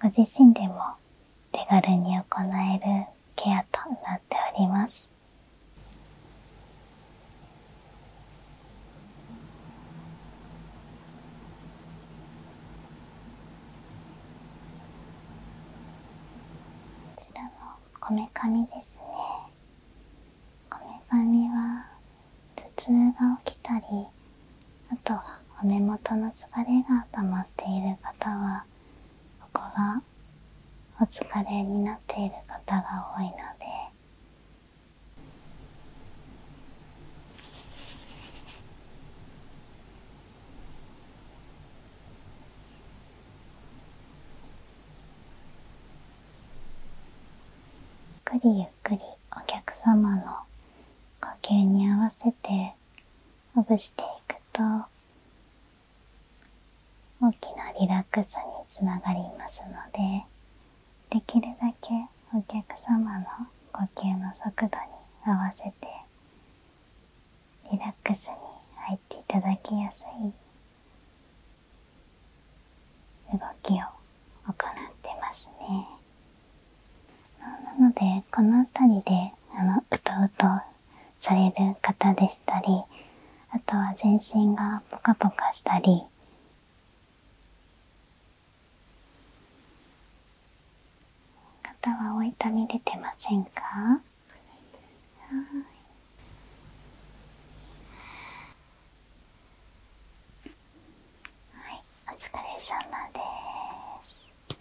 ご自身でも手軽に行えるケアとなっておりますこちらのこめかみですねこめかみは頭痛が起きたりあとはお目元の疲れがたまっている方はここがお疲れになっている方が多いのでゆっくりゆっくりお客様の呼吸に合わせてほぐしていくと大きなリラックスにつながりますのでできるだけお客様の呼吸の速度に合わせてリラックスに入っていただきやすい動きを行ってますね。なのでこの辺りであのうとうとされる方でしたりあとは全身がポカポカしたり肩はお痛み出てませんかはい、お疲れ様で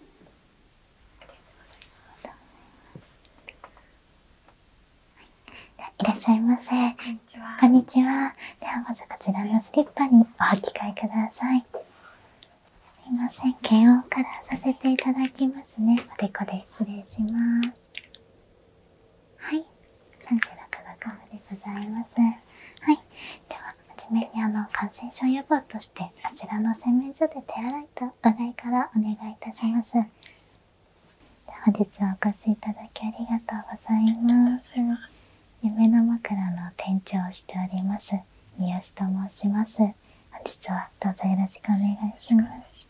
す。いらっしゃいませ。こんにちは。ではまずこちらのスリッパにお履き替えください。すいません。検温からさせていただきますね。おでこで失礼します。はい。36度カムでございます。はい。では初めにあの感染症予防としてあちらの洗面所で手洗いとういからお願いいたします本日はお越しいただきありがとうございます夢の枕の店長をしております三好と申します本日はどうぞよろしくお願いします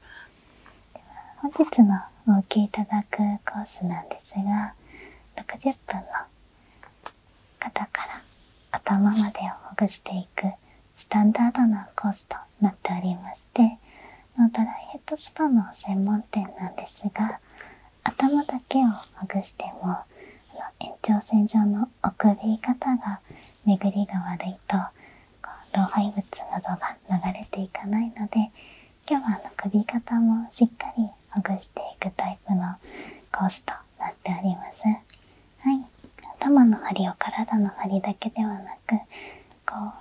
では本日のお受けいただくコースなんですが60分の肩から頭までをほぐしていくスタンダードなコースとなっておりましてドライヘッドスパの専門店なんですが頭だけをほぐしても延長線上のおび肩が巡りが悪いと老廃物などが流れていかないので今日はあの首肩もしっかりほぐしていくタイプのコースとなっております。はい、頭の張りを体の張りだけではなくこ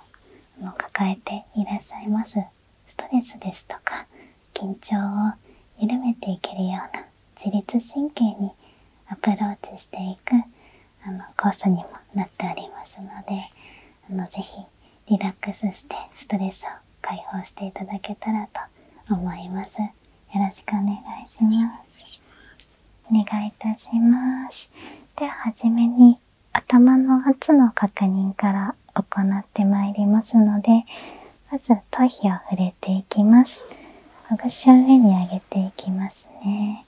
うの抱えていらっしゃいますストレスですとか緊張を緩めていけるような自律神経にアプローチしていくあのコースにもなっておりますのであのぜひリラックスしてストレスを解放していただけたらと思います。よろしくお願いしますお願いいたしますでは初めに頭の圧の確認から行ってまいりますのでまず頭皮を触れていきますほぐしを上に上げていきますね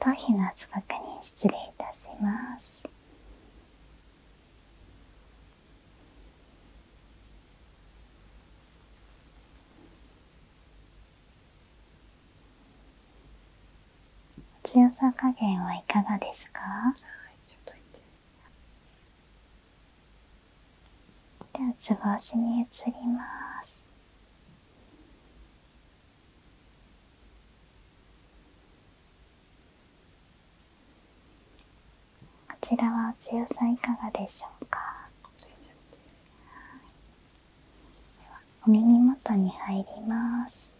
頭皮の圧迫に失礼いたします。強さ加減はいかがですか、ではつぼしに移りますこちらは強さいかがでしょうかお耳元に入ります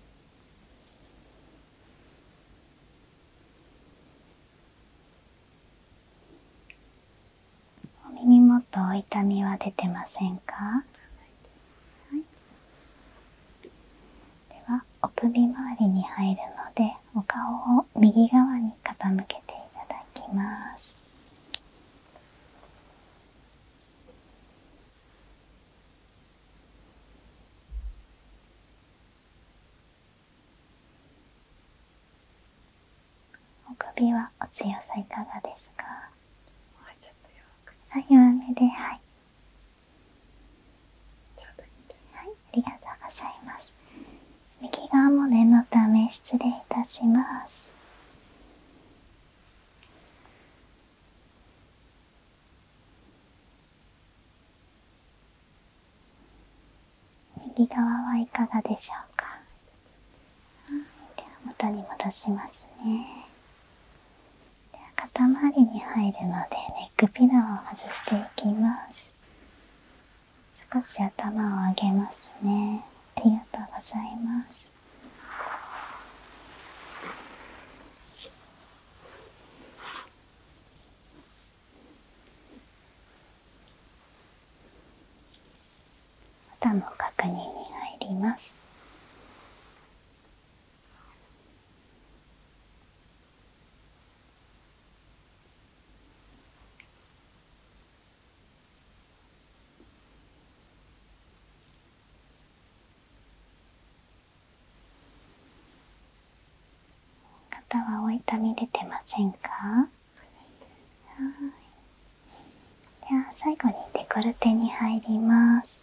耳元お痛みは出てませんか、ではお首周りに入るのでお顔を右側に傾けていただきますお首はお強さいかがですかはい、弱めで、はい。はい、ありがとうございます。右側も念のため失礼いたします。右側はいかがでしょうかでは元に戻しますねでは肩周りに入るのでネックピラーを外していきます少し頭を上げますねありがとうございます肌の確認に入ります肩はお痛み出てませんかでは最後にデコルテに入ります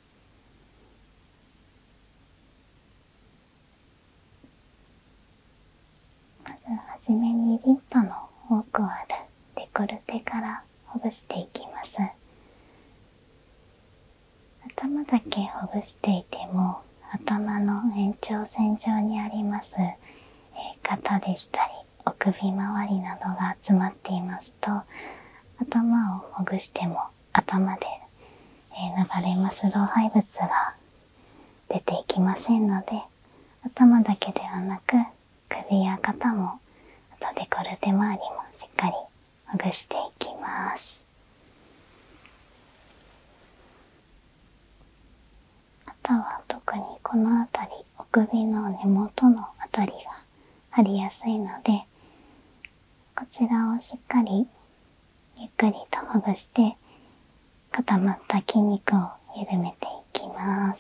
まずはじめにリンパの多くあるデコルテからほぐしていきます頭だけほぐしていても頭の延長線上にあります肩でしたりお首周りなどが詰まっていますと頭をほぐしても頭で流れます老廃物が出ていきませんので頭だけではなく首や肩もあとデコルテ周りもしっかりほぐしていきますあとは特にこの辺りお首の根元の辺りが張りやすいのでこちらをしっかりゆっくりとほぐして固まった筋肉を緩めていきます。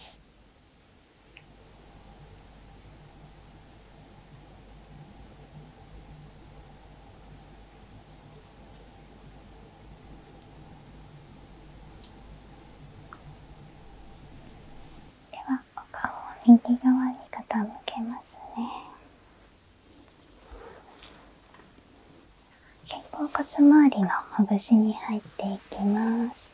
では顔右側に傾けますね肩甲骨周りのほぐしに入っていきます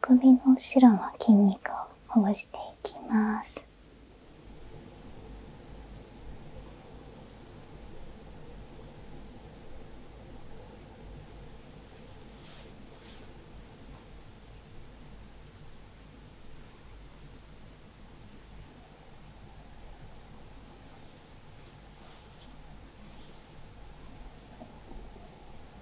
首の後ろの筋肉をほぐしていきます。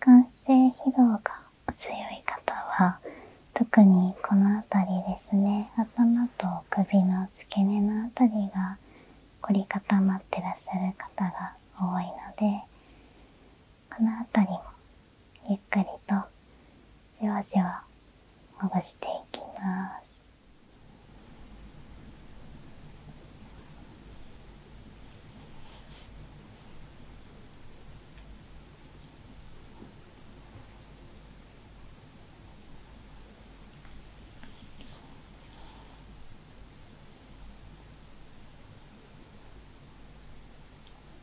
眼性疲労が強い方は特にこの辺りですね頭と首の付け根の辺りが凝り固まってらっしゃる方が多いのでこの辺りもゆっくりとじわじわほぐしていきます。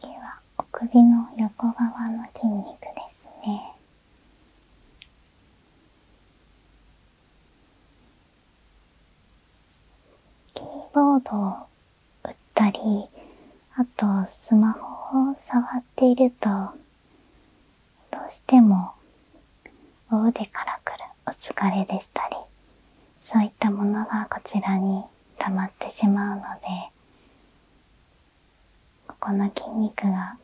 次はお首の横側の筋肉ですねキーボードを打ったりあとスマホを触っているとどうしてもお腕からくるお疲れでしたりそういったものがこちらに溜まってしまうのでここの筋肉が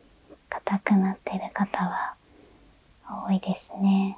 硬くなってる方は多いですね。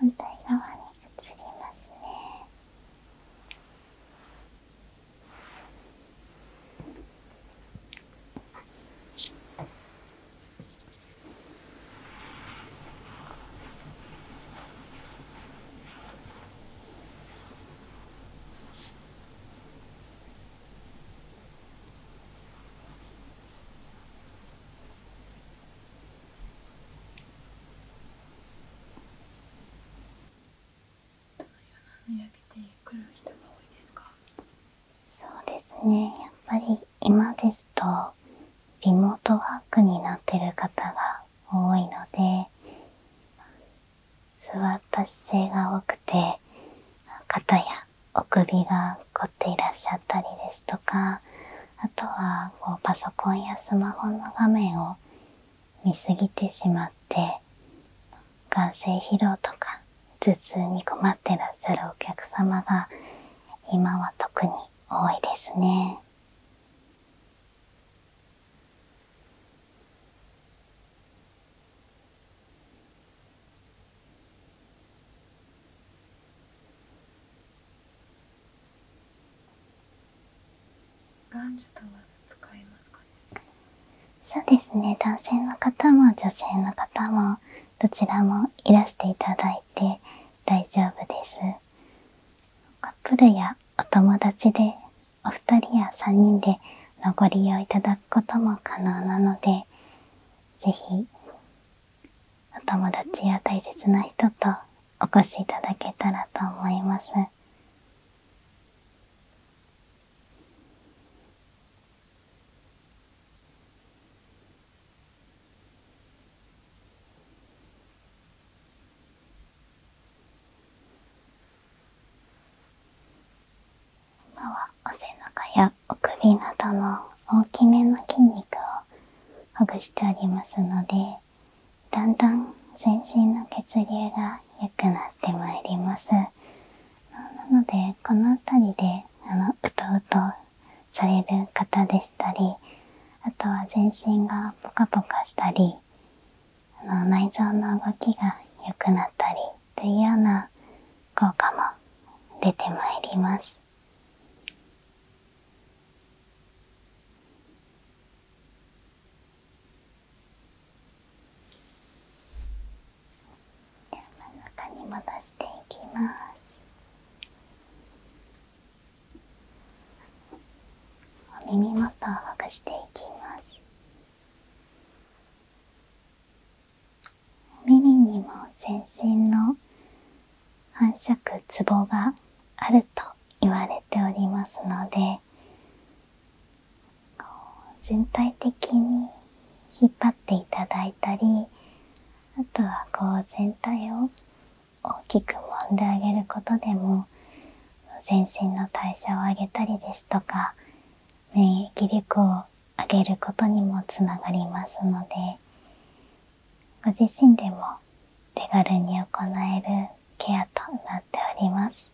反対側に移りますね。焼けてくる人が多いですかそうですねやっぱり今ですとリモートワークになってる方が多いので座った姿勢が多くて肩やお首が凝っていらっしゃったりですとかあとはこうパソコンやスマホの画面を見すぎてしまって眼性疲労とか頭痛に困ってらっしゃるお客様が今は特に多いですね。そうですね男性の方も女性の方もどちらもいらしていただいて大丈夫ですカップルやお友達でお二人や三人でのご利用いただくことも可能なのでぜひお友達や大切な人とお越しいただけたらと思います今はお背中やお首などの大きめの筋肉をほぐしておりますのでだんだん全身の血流が良くなってまいりますなのでこの辺りでうとうとされる方でしたりあとは全身がポカポカしたり内臓の動きが良くなったりというような効果も出てまいります。していきますお耳元をほぐしていきます耳にも全身の反射区ツボがあると言われておりますので全体的に引っ張っていただいたりあとはこう全体を大きく揉んであげることでも全身の代謝を上げたりですとか免疫力を上げることにもつながりますのでご自身でも手軽に行えるケアとなっております。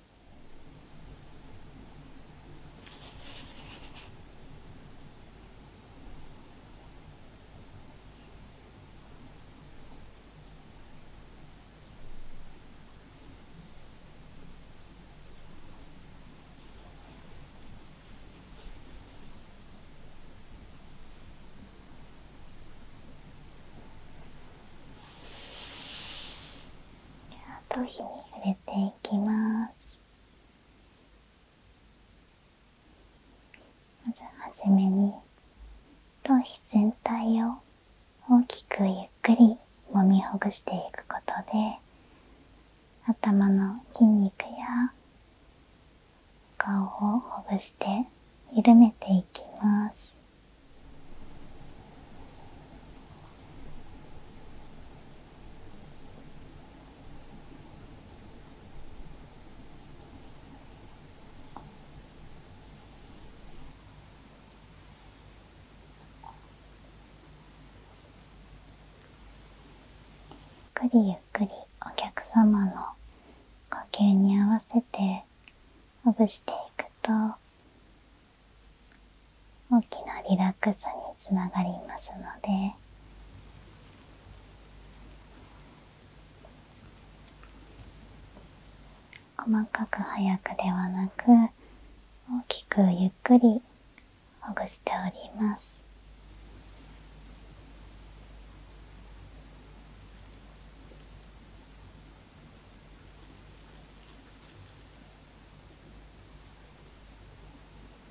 頭皮に触れていきます。まずはじめに頭皮全体を大きくゆっくりもみほぐしていくことで頭の筋肉や顔をほぐして緩めていきます。ゆっくりゆっくりお客様の呼吸に合わせてほぐしていくと大きなリラックスにつながりますので細かく早くではなく大きくゆっくりほぐしております。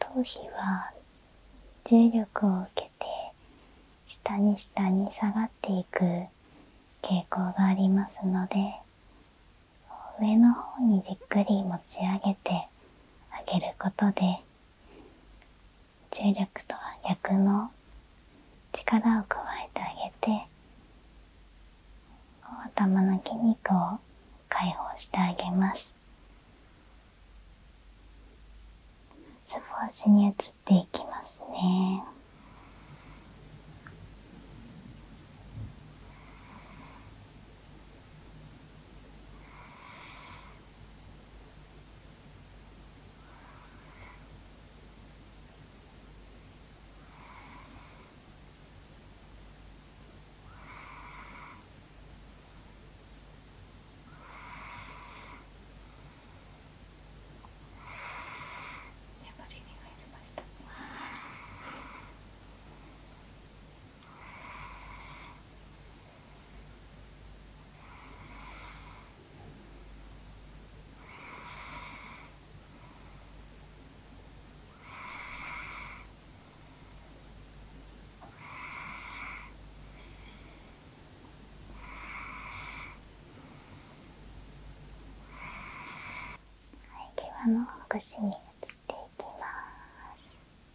頭皮は重力を受けて下に下に下がっていく傾向がありますので上の方にじっくり持ち上げてあげることで重力とは逆の力を加えてあげて頭の筋肉を解放してあげますスポーツに移っていきますね眠りに入りました。はい、ではもう腰に移っていきます。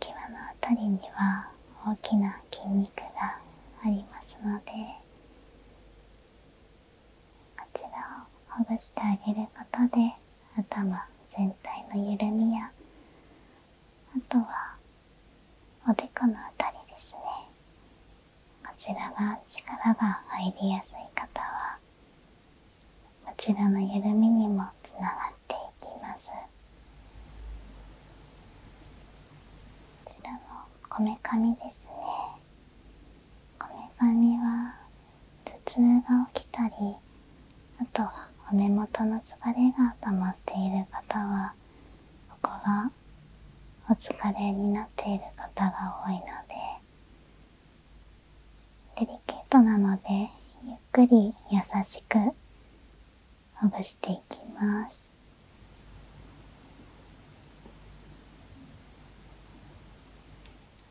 際のあたりには大きな筋肉がありますのでこちらをほぐしてあげることで頭全体の緩みやあとはおでこのあたりですねこちらが力が入りやすい方はこちらの緩みにもつながっていきますこめかみですねこめかみは頭痛が起きたりあとはお目元の疲れがたまっている方はここがお疲れになっている方が多いのでデリケートなのでゆっくり優しくほぐしていきます。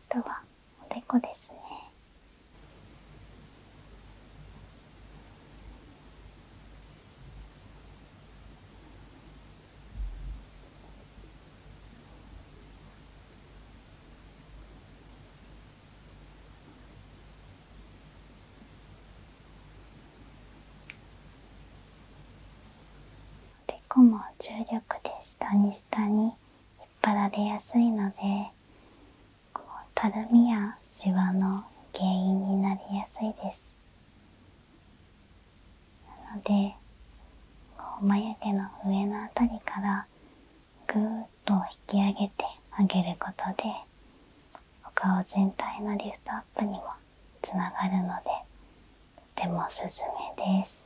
あとはおでこですね。おでも重力で下に下に引っ張られやすいのでこうたるみやシワの原因になりやすいです。なので眉毛の上の辺りからぐーっと引き上げてあげることでお顔全体のリフトアップにもつながるのでとてもおすすめです。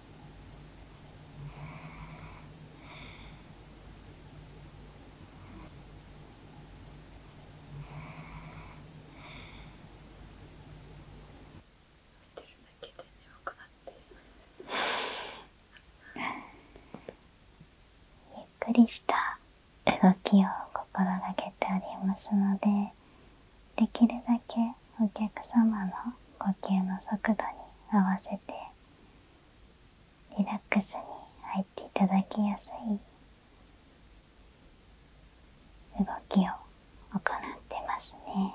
ゆっくりした動きを心がけておりますのでできるだけお客様の呼吸の速度に合わせてリラックスに入っていただきやすい動きを行ってますね。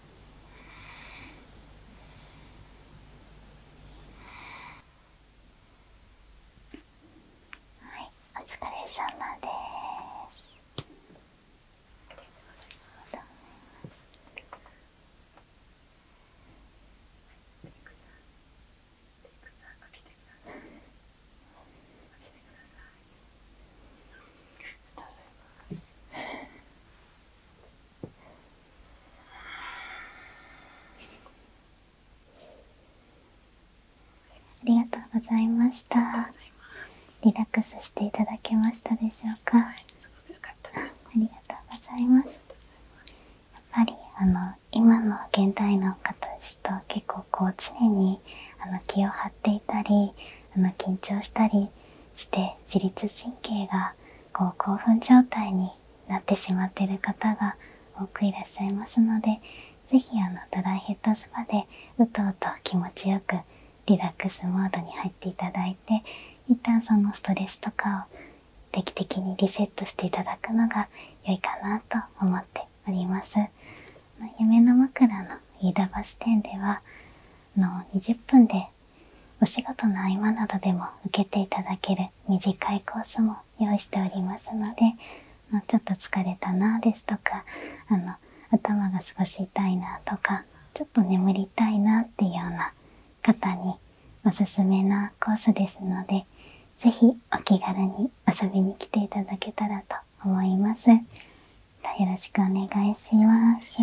はい、お疲れ様です。ありがとうございます。りがとうございました。リラックスしていただけましたでしょうか。ありがとうございます。やっぱりあの今の現代の方たちと結構こう常にあの気を張っていたりあの緊張したりして自律神経がこう興奮状態になってしまってる方が多くいらっしゃいますので是非ドライヘッドスパでうとうと気持ちよくリラックスモードに入っていただいて一旦そのストレスとかを定期的にリセットしていただくのが良いかなと思っております。夢の枕の飯田橋店ではの20分でお仕事の合間などでも受けていただける短いコースも用意しておりますのでちょっと疲れたなですとかあの頭が少し痛いなとかちょっと眠りたいなっていうような方におすすめなコースですので是非お気軽に遊びに来ていただけたらと思います。よろしくお願いします。